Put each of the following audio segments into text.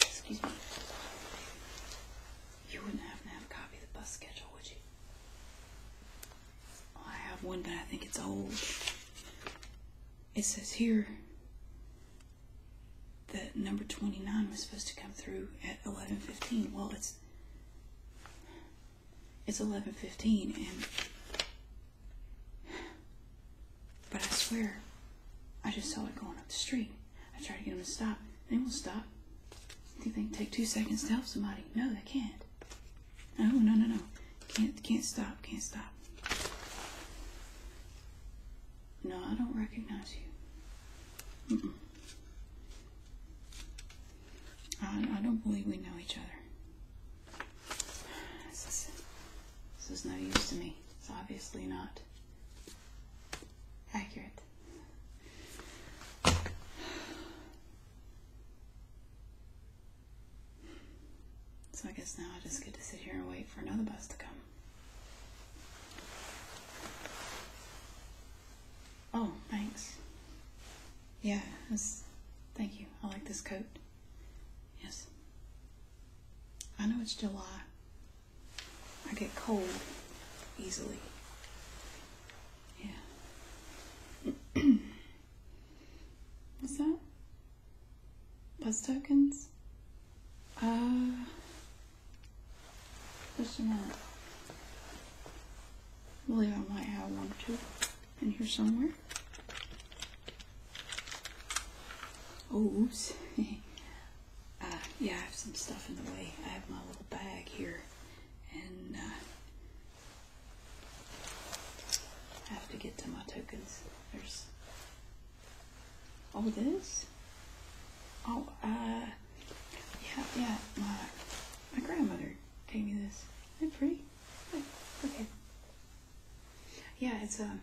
Excuse me. You wouldn't happen to have a copy of the bus schedule, would you? I have one, but I think it's old. It says here that number 29 was supposed to come through at 11.15. Well, it's it's 11.15 and but I swear I just saw it going up the street. I try to get them to stop. They won't stop. You think they can take two seconds to help somebody? No, they can't. No, no, no, no. Can't, can't stop. Can't stop. No, I don't recognize you. I, I don't believe we know each other. This is, this is no use to me. It's obviously not accurate. So I guess now I just get to sit here and wait for another bus to come. Oh, thanks. Yeah, thank you. I like this coat. Yes. I know it's July, I get cold easily. Yeah. What's that? Buzz tokens? Uh, just a I believe I might have one or two in here somewhere. Oh, oops. Uh, yeah, I have some stuff in the way. I have my little bag here. And uh, I have to get to my tokens. There's. all oh, this? Oh, uh. Yeah, yeah. My, my grandmother gave me this. Isn't it pretty? Look, look Yeah, it's, a. Um,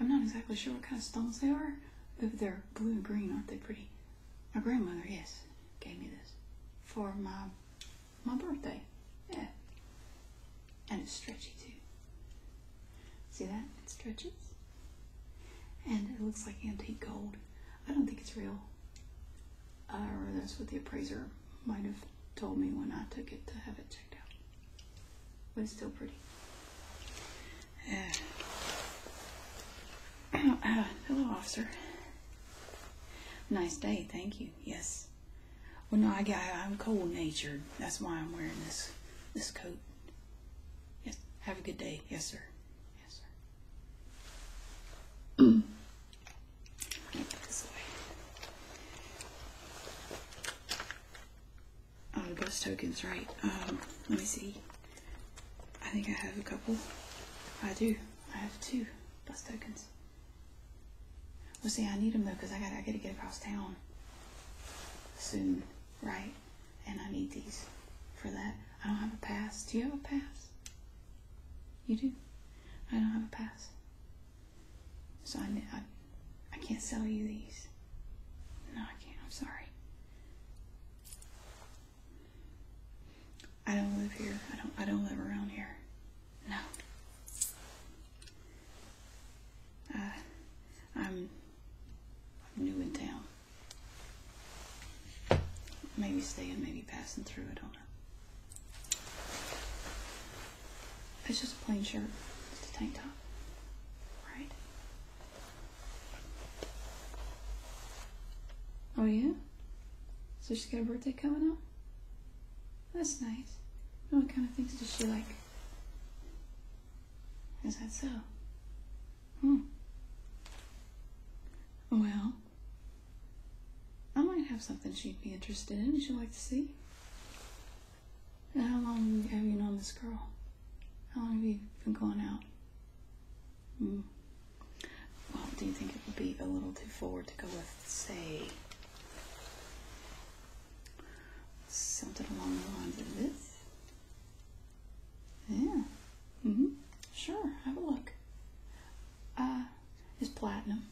I'm not exactly sure what kind of stones they are. but they're blue and green, aren't they pretty? My grandmother, yes, gave me this for my my birthday. Yeah. And it's stretchy too. See that? It stretches. And it looks like antique gold. I don't think it's real. or that's what the appraiser might have told me when I took it to have it checked. But it's still pretty. hello, officer. Nice day, thank you. Yes. Well, no, I got, I'm cold natured. That's why I'm wearing this this coat. Yes. Have a good day. Yes, sir. Yes, sir. Oh, I've tokens, right. Um, let me see. I think I have a couple. I do. I have two bus tokens. Well, see, I need them though because I got to I got to get across town soon, right? And I need these for that. I don't have a pass. Do you have a pass? You do. I don't have a pass. So I, I, can't sell you these. No, I can't. I'm sorry. I don't live here. I don't. I don't live around here. No. Uh, I'm, I'm new in town. Maybe staying, maybe passing through. I don't know. It's just a plain shirt, just a tank top, right? Oh yeah? So she's got a birthday coming up? That's nice. What kind of things does she like? Is that so? Hmm. Well, I might have something she'd be interested in. She'd like to see how long have you known this girl? How long have you been going out? Hmm. Well, do you think it would be a little too forward to go with, say, something along the lines of this? Yeah. hmm Sure. Have a look. Uh, is platinum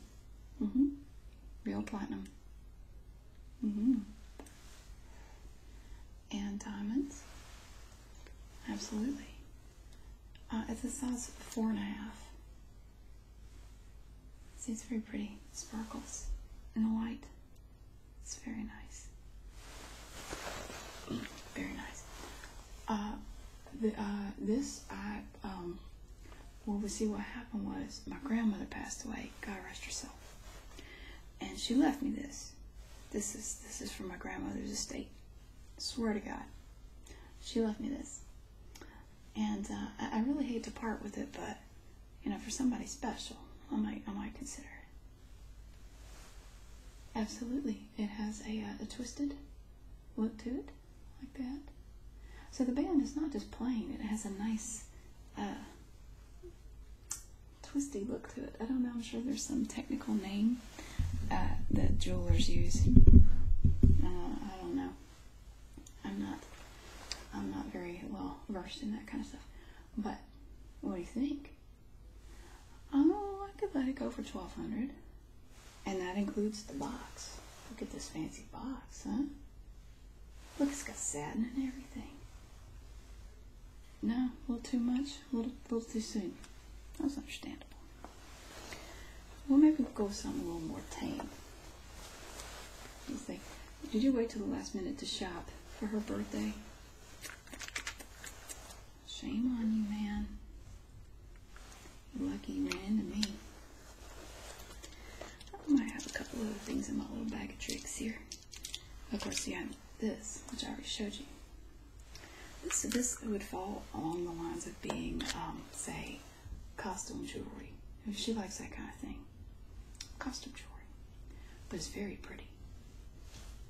Mm hmm Real platinum. Mm hmm And diamonds. Absolutely. Uh, it's a size four and a half. See, it's very pretty. sparkles in the light. It's very nice. Very nice. Uh, the, uh, this I um, well, we see what happened was my grandmother passed away. God rest her soul. And she left me this. This is this is from my grandmother's estate. swear to God, she left me this. And uh, I, really hate to part with it, but you know, for somebody special, I might I might consider it. Absolutely, it has a, uh, a twisted look to it like that. So the band is not just plain, it has a nice uh, twisty look to it. I don't know, I'm sure there's some technical name uh, that jewelers use. Uh, I don't know. I'm not I'm not very well versed in that kind of stuff. But what do you think? Oh, I could let it go for twelve hundred. And that includes the box. Look at this fancy box, huh? Look, it's got satin and everything. No, a little too much, a little, a little too soon. That's understandable. Well, maybe we'll go something a little more tame. You think, did you wait till the last minute to shop for her birthday? Shame on you, man. You're lucky you ran into me. I might have a couple of things in my little bag of tricks here. Of course, you have this, which I already showed you. this would fall along the lines of being, um, say, costume jewelry. If she likes that kind of thing, costume jewelry. But it's very pretty.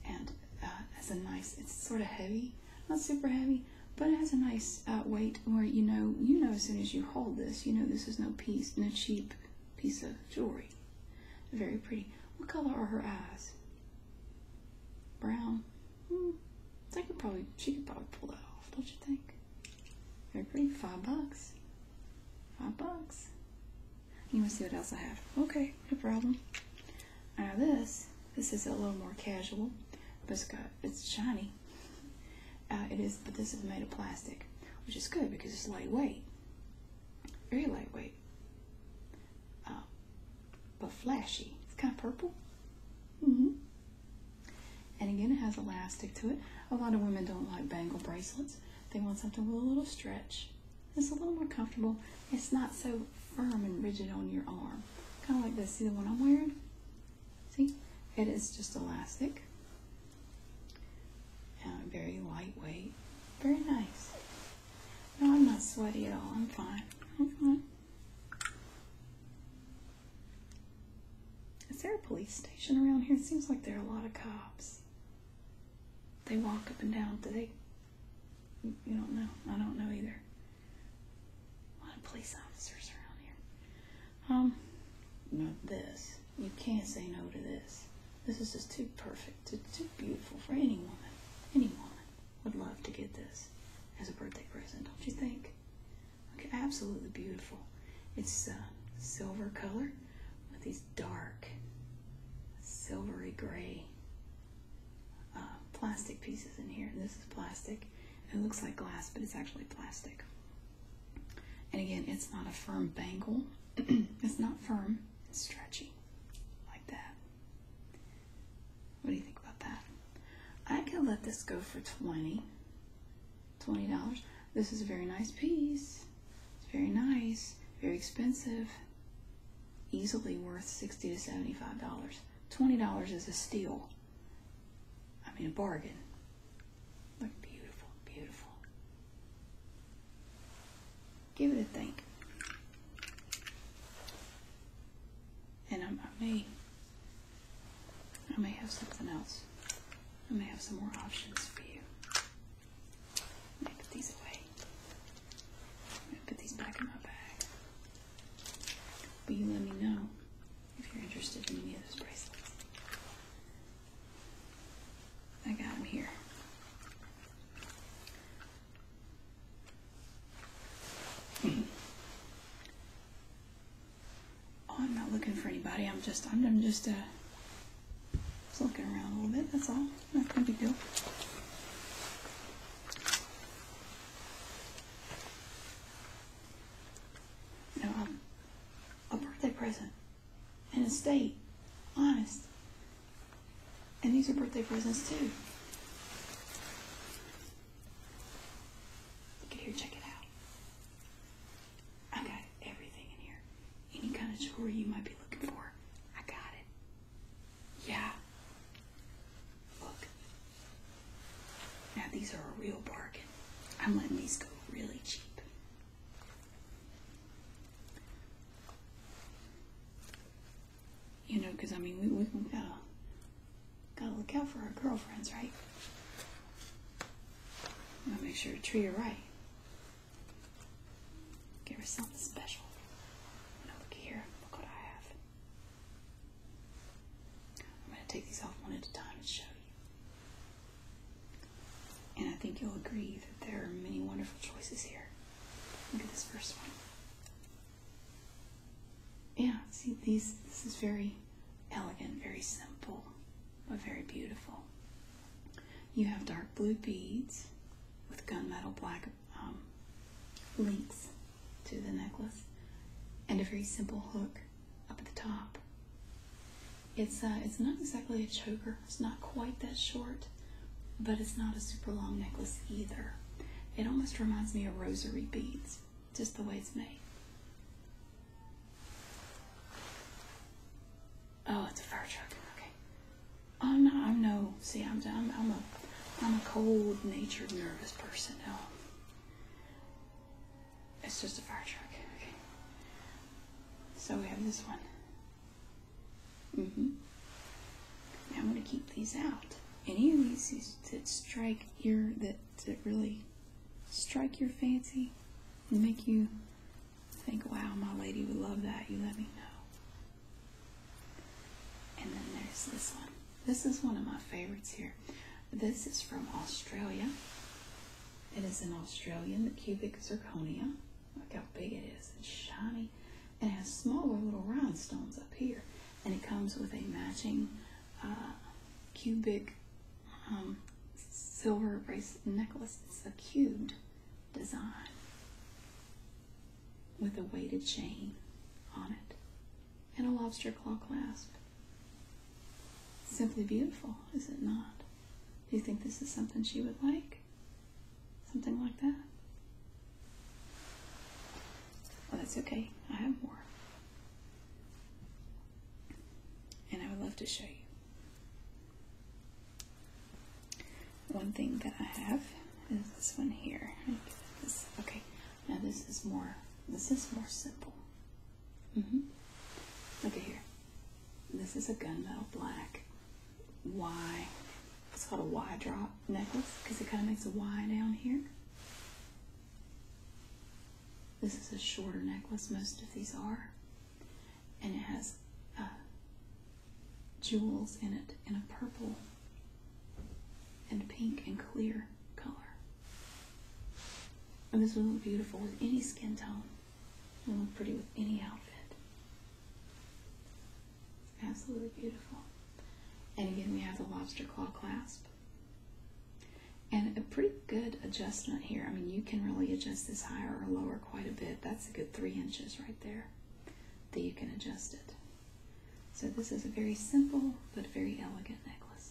And uh, has a nice, it's sort of heavy, not super heavy, but it has a nice nice uh, weight where you know, you know as soon as you hold this, you know this is no piece, no cheap piece of jewelry. Very pretty. What color are her eyes? Brown. Hmm. They could probably, she could probably pull that off, don't you think? Very pretty. Five bucks. Five bucks. You want to see what else I have? Okay, no problem. Now this, this is a little more casual, but it's got, it's shiny. Uh, it is, but this is made of plastic, which is good because it's lightweight, very lightweight, uh, but flashy. It's kind of purple. Mm-hmm. And again, it has elastic to it. A lot of women don't like bangle bracelets. They want something with a little stretch. It's a little more comfortable. It's not so firm and rigid on your arm. Kind of like this. See the one I'm wearing? See, it is just elastic. very lightweight. Very nice. No, I'm not sweaty at all. I'm fine. I'm fine. Is there a police station around here? It seems like there are a lot of cops. They walk up and down. Do they? You don't know. I don't know either. A lot of police officers around here. Um, Not this. You can't say no to this. This is just too perfect, too, too beautiful for any woman. Any woman would love to get this as a birthday present, don't you think? absolutely beautiful. It's uh, silver color with these dark, silvery gray uh, plastic pieces in here. this is plastic. It looks like glass, but it's actually plastic. And again, it's not a firm bangle. it's not firm, it's stretchy, like that. What do you think about that? I could let this go for 20 dollars This is a very nice piece. It's very nice, very expensive, easily worth 60 to $75. $20 is a steal. I mean, a bargain. Look, beautiful, beautiful. Give it a think. And I, may, I may have something else. I may have some more options for you. put these away. put these back in my bag. But you let me know if you're interested in any of those bracelets. I got them here. oh, I'm not looking for anybody. I'm just, I'm, just, uh, just looking around a little bit. That's all. Not no big deal you um, a, birthday present and a state. Honest. And these are birthday presents too. Look at here, check it out. I got everything in here. Any kind of jewelry you might be looking for, I got it. Yeah. Look, now these are a real bargain. I'm letting these go really cheap. You know, because I mean, we, we gotta, gotta look out for our girlfriends, right? I'm gonna make sure to treat her right. Give her something special. Now look here, look what I have. I'm going to take these off one at a time and show you. And I think you'll agree that there are many wonderful choices here. Look at this first one. Yeah, see these this is very elegant, very simple, but very beautiful. You have dark blue beads with gunmetal black um, links to the necklace and a very simple hook up at the top. It's, uh, it's not exactly a choker. It's not quite that short, but it's not a super long necklace either. It almost reminds me of rosary beads, just the way it's made. Oh, it's a fire truck. Okay. I'm not. I'm no. See, I'm. I'm. I'm a. I'm a cold-natured, nervous person. now. It's just a fire truck. Okay. So we have this one. hmm Now I'm going to keep these out. Any of these that strike your, that, that really strike your fancy and make you think, wow, my lady would love that, you let me know. And then there's this one. This is one of my favorites here. This is from Australia. It is an Australian cubic zirconia. Look how big it is. It's shiny and it has smaller little rhinestones up here. And it comes with a matching uh, cubic um, silver bracelet necklace. It's a cubed design with a weighted chain on it and a lobster claw clasp. Simply beautiful, is it not? Do you think this is something she would like? Something like that? Well, that's okay. I have more. And I would love to show you. One thing that I have is this one here. Okay, now this is more, this is more simple. Mm-hmm. Look at here. This is a gunmetal black Y. It's called a Y drop necklace because it kind of makes a Y down here. This is a shorter necklace, most of these are. And it has uh, jewels in it in a purple and pink and clear color. And this will look beautiful with any skin tone. It will look pretty with any outfit. Absolutely beautiful. And again, we have the lobster claw clasp. And a pretty good adjustment here. I mean, you can really adjust this higher or lower quite a bit. That's a good three inches right there that you can adjust it. So this is a very simple but very elegant necklace.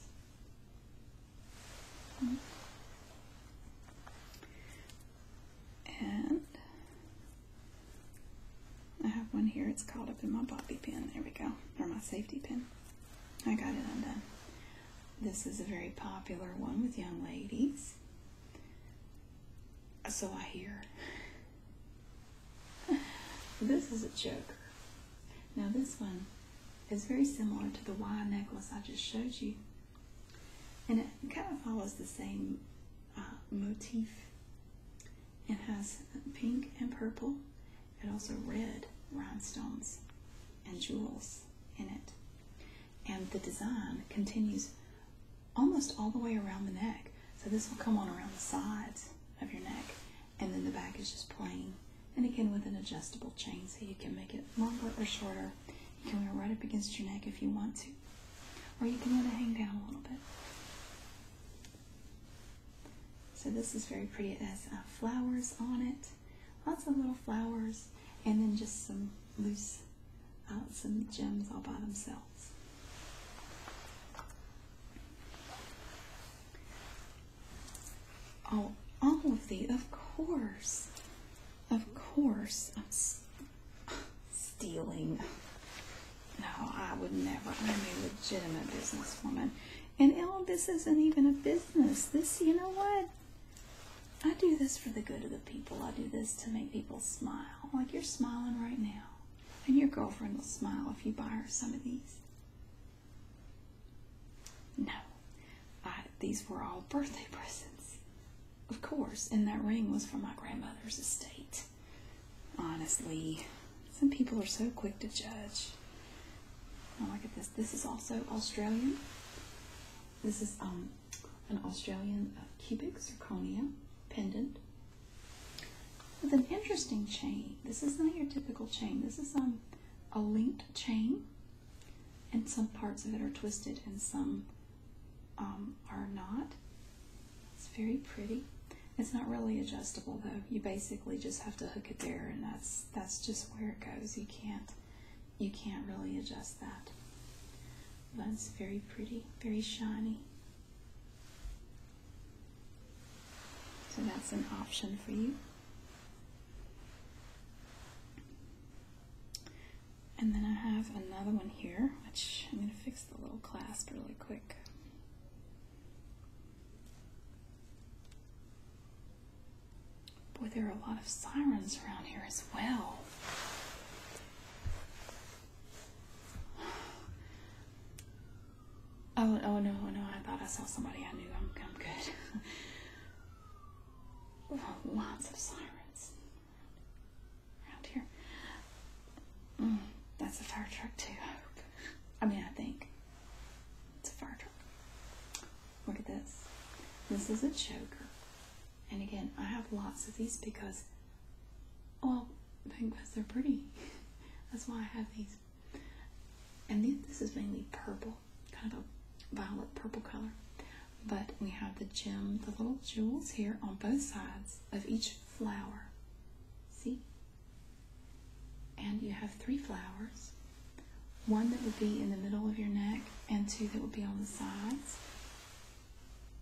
And I have one here. It's caught up in my bobby pin. There we go. Or my safety pin. I got it undone. This is a very popular one with young ladies. So I hear. this is a choker. Now this one is very similar to the Y necklace I just showed you. And it kind of follows the same uh, motif. It has pink and purple It also red rhinestones and jewels in it. And the design continues almost all the way around the neck. So this will come on around the sides of your neck, and then the back is just plain. And again, with an adjustable chain, so you can make it longer or shorter. You can wear it right up against your neck if you want to, or you can let it hang down a little bit. So this is very pretty. It has uh, flowers on it, lots of little flowers, and then just some loose, uh, some gems all by themselves. Oh, all of the, of course. Of course. I'm stealing. No, I would never. I'm a legitimate businesswoman. And all oh, this isn't even a business. This, you know what? I do this for the good of the people. I do this to make people smile. Like you're smiling right now. And your girlfriend will smile if you buy her some of these. No, these were all birthday presents. Of course, and that ring was from my grandmother's estate. Honestly, some people are so quick to judge. Oh, look at this. This is also Australian. This is um, an Australian uh, cubic zirconia pendant with an interesting chain, this is not your typical chain. This is um, a linked chain, and some parts of it are twisted and some um, are not. It's very pretty. It's not really adjustable though. You basically just have to hook it there, and that's that's just where it goes. You can't you can't really adjust that. But it's very pretty, very shiny. So that's an option for you. And then I have another one here, which I'm going to fix the little clasp really quick. Boy, there are a lot of sirens around here as well. Oh, oh no, no, I thought I saw somebody I knew. I'm, I'm good. lots of sirens around here. Mm, that's a fire truck, too, I I mean, I think it's a fire truck. Look at this. This is a choker. And again, I have lots of these because well, because they're pretty. That's why I have these. And then this is mainly purple, kind of a violet purple color. But we have the gem, the little jewels here on both sides of each flower. See? And you have three flowers. One that would be in the middle of your neck and two that would be on the sides.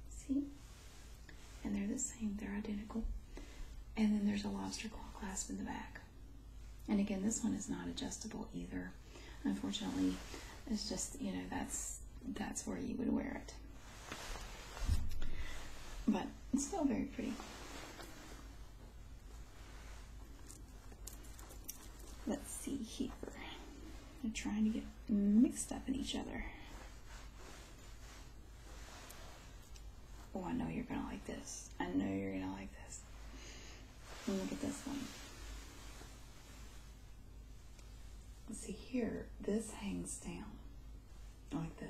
See? And they're the same, they're identical. And then there's a lobster claw clasp in the back. And again, this one is not adjustable either. Unfortunately, it's just, you know, that's that's where you would wear it. But it's still very pretty. Let's see here. They're trying to get mixed up in each other. Oh, I know you're gonna like this. I know you're gonna like this. And look at this one. see here, this hangs down like this.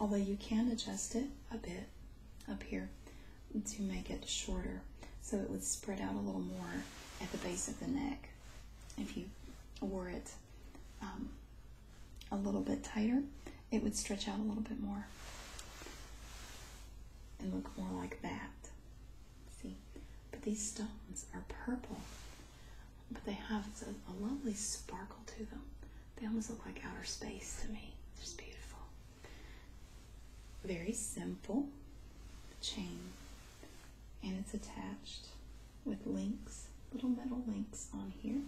Although you can adjust it a bit up here to make it shorter so it would spread out a little more at the base of the neck if you wore it um, a little bit tighter, it would stretch out a little bit more and look more like that. See? But these stones are purple, but they have a, lovely sparkle to them. They almost look like outer space to me. they just beautiful. Very simple chain and it's attached with links, little metal links on here.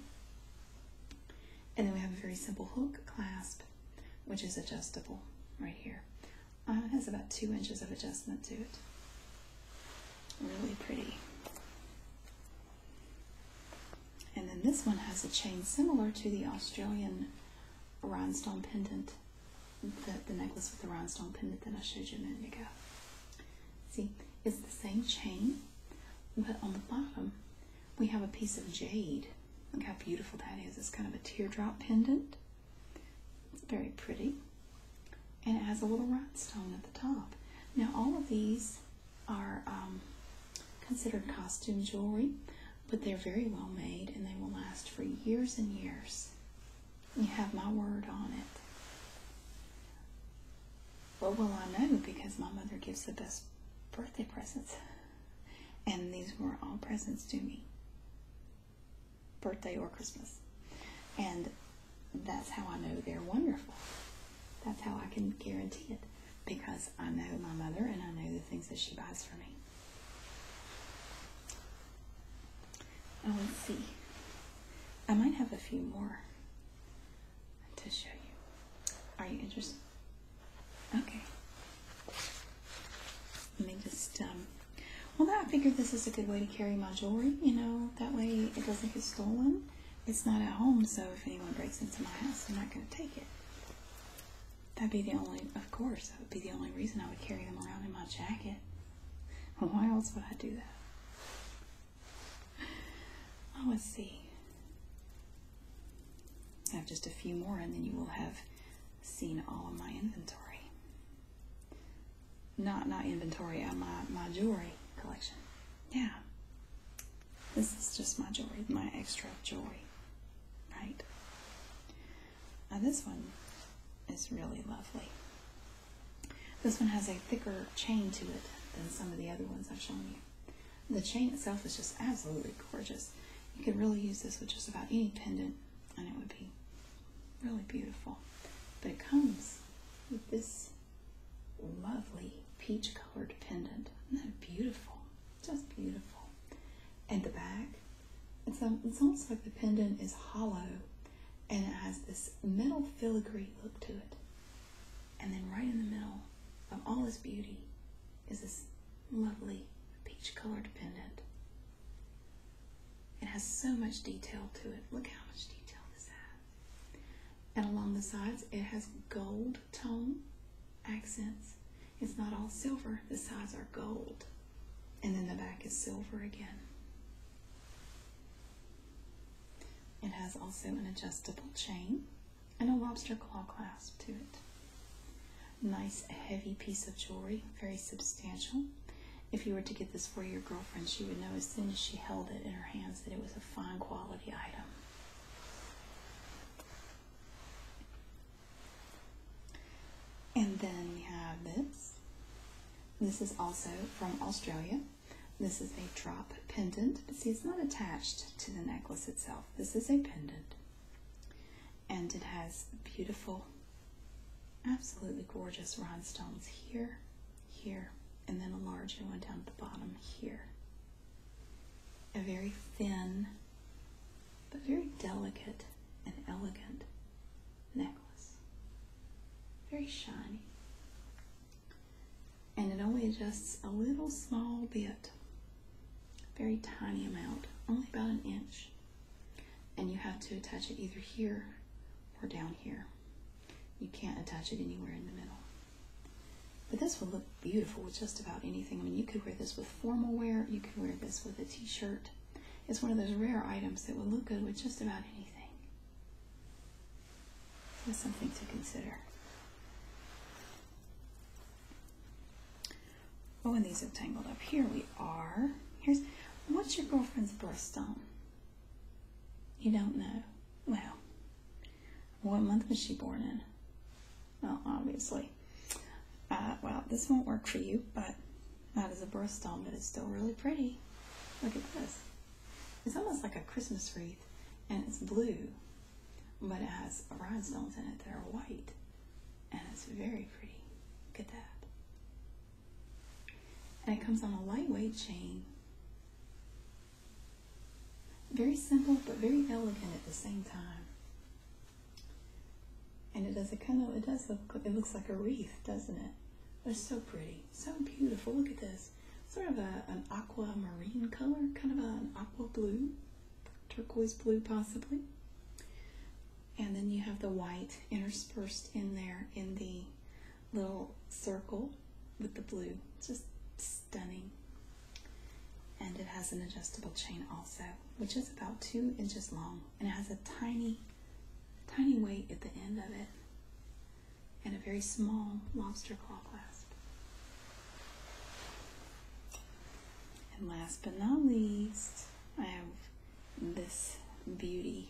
And then we have a very simple hook clasp, which is adjustable right here. Uh, it has about two inches of adjustment to it. Really pretty. And then this one has a chain similar to the Australian rhinestone pendant, the, the necklace with the rhinestone pendant that I showed you a minute ago. See, it's the same chain, but on the bottom we have a piece of jade. Look how beautiful that is. It's kind of a teardrop pendant. It's very pretty. And it has a little rhinestone at the top. Now, all of these are um, considered costume jewelry, but they're very well made and they will last for years and years. You have my word on it. What will I know? Because my mother gives the best birthday presents. And these were all presents to me birthday or Christmas. And that's how I know they're wonderful. That's how I can guarantee it because I know my mother and I know the things that she buys for me. Now oh, let's see. I might have a few more to show you. Are you interested? Okay. Let me just, um, well, I figured this is a good way to carry my jewelry, you know, that way it doesn't get stolen. It's not at home, so if anyone breaks into my house, they're not going to take it. That'd be the only, of course, that would be the only reason I would carry them around in my jacket. Why else would I do that? Oh, let's see. I have just a few more, and then you will have seen all of my inventory. Not not inventory, uh, my my jewelry collection. Yeah, this is just my jewelry, my extra jewelry, right? Now this one is really lovely. This one has a thicker chain to it than some of the other ones I've shown you. The chain itself is just absolutely gorgeous. You could really use this with just about any pendant and it would be really beautiful. But it comes with this lovely peach colored pendant. Isn't that beautiful? Just beautiful. And the back, it's, um, it's almost like the pendant is hollow and it has this metal filigree look to it. And then right in the middle of all this beauty is this lovely peach colored pendant. It has so much detail to it. Look how much detail this has. And along the sides, it has gold tone accents. It's not all silver, the sides are gold. And then the back is silver again. It has also an adjustable chain and a lobster claw clasp to it. Nice heavy piece of jewelry, very substantial. If you were to get this for your girlfriend, she would know as soon as she held it in her hands that it was a fine quality item. And then we have this this is also from Australia. This is a drop pendant, but see, it's not attached to the necklace itself. This is a pendant, and it has beautiful, absolutely gorgeous rhinestones here, here, and then a larger one down at the bottom here. A very thin, but very delicate and elegant necklace. Very shiny. And it only adjusts a little small bit, very tiny amount, only about an inch. And you have to attach it either here or down here. You can't attach it anywhere in the middle. But this will look beautiful with just about anything. I mean, you could wear this with formal wear. You could wear this with a t-shirt. It's one of those rare items that would look good with just about anything. So that's something to consider. Oh, and these have tangled up. Here we are. Here's what's your girlfriend's birthstone? You don't know. Well, what month was she born in? Well, obviously. Uh, well, this won't work for you, but that is a birthstone, doll, but it's still really pretty. Look at this. It's almost like a Christmas wreath, and it's blue, but it has rhinestones in it that are white, and it's very pretty. Look at that. And it comes on a lightweight chain. Very simple, but very elegant at the same time. And it does a kind of it does look it looks like a wreath, doesn't it? But it's so pretty, so beautiful. Look at this, sort of a, an aqua marine color, kind of an aqua blue, turquoise blue possibly. And then you have the white interspersed in there in the little circle with the blue. It's just stunning. And it has an adjustable chain also, which is about two inches long and it has a tiny, tiny weight at the end of it and a very small lobster claw clasp. And last but not least, I have this beauty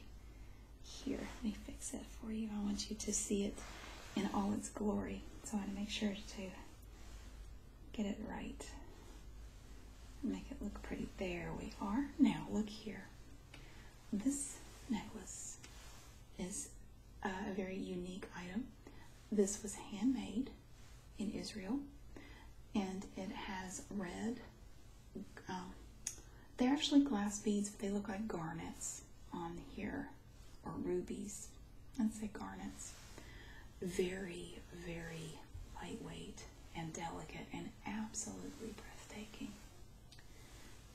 here. Let me fix it for you. I want you to see it in all its glory. So I want to make sure to get it right make it look pretty. There we are. Now look here. This necklace is a very unique item. This was handmade in Israel and it has red, um, they're actually glass beads, but they look like garnets on here or rubies. Let's say garnets. Very, very lightweight and delicate and absolutely breathtaking.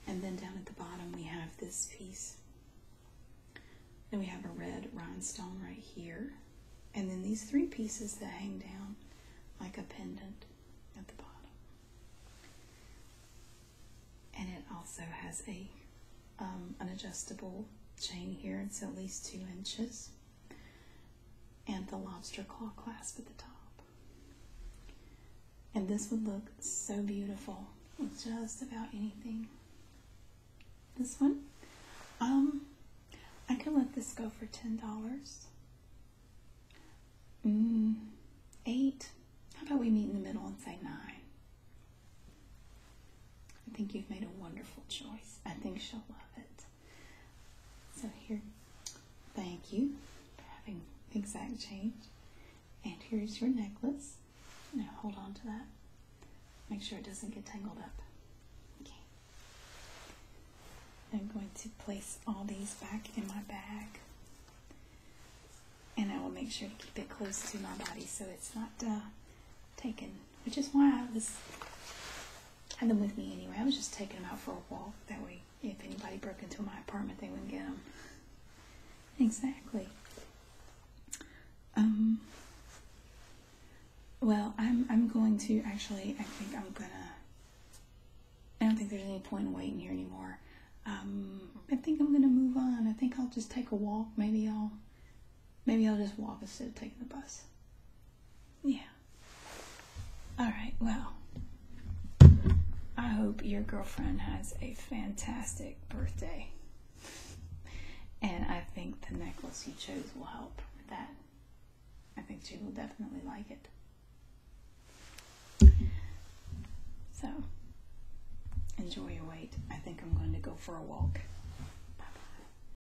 And then down at the bottom we have this piece. And we have a red rhinestone right here. And then these three pieces that hang down like a pendant at the bottom. And it also has a um, an adjustable chain here, it's at least two inches and the lobster claw clasp at the top. And this would look so beautiful with just about anything. This one, um, I could let this go for ten dollars. Mm, eight. How about we meet in the middle and say nine? I think you've made a wonderful choice. I think she'll love it. So here, thank you for having exact change. And here's your necklace. Now hold on to that. Make sure it doesn't get tangled up. I'm going to place all these back in my bag. And I will make sure to keep it close to my body so it's not uh, taken which is why I was had them with me anyway. I was just taking them out for a walk. That way, if anybody broke into my apartment, they wouldn't get them. Exactly. Um. Well, I'm I'm going to actually. I think I'm gonna. I don't think there's any point in waiting here anymore. Um, I think I'm gonna move on. I think I'll just take a walk. Maybe I'll, maybe I'll just walk instead of taking the bus. Yeah. All right, well, I hope your girlfriend has a fantastic birthday. And I think the necklace you chose will help with that. I think she will definitely like it. So, enjoy your wait. I think I'm going to go for a walk. Bye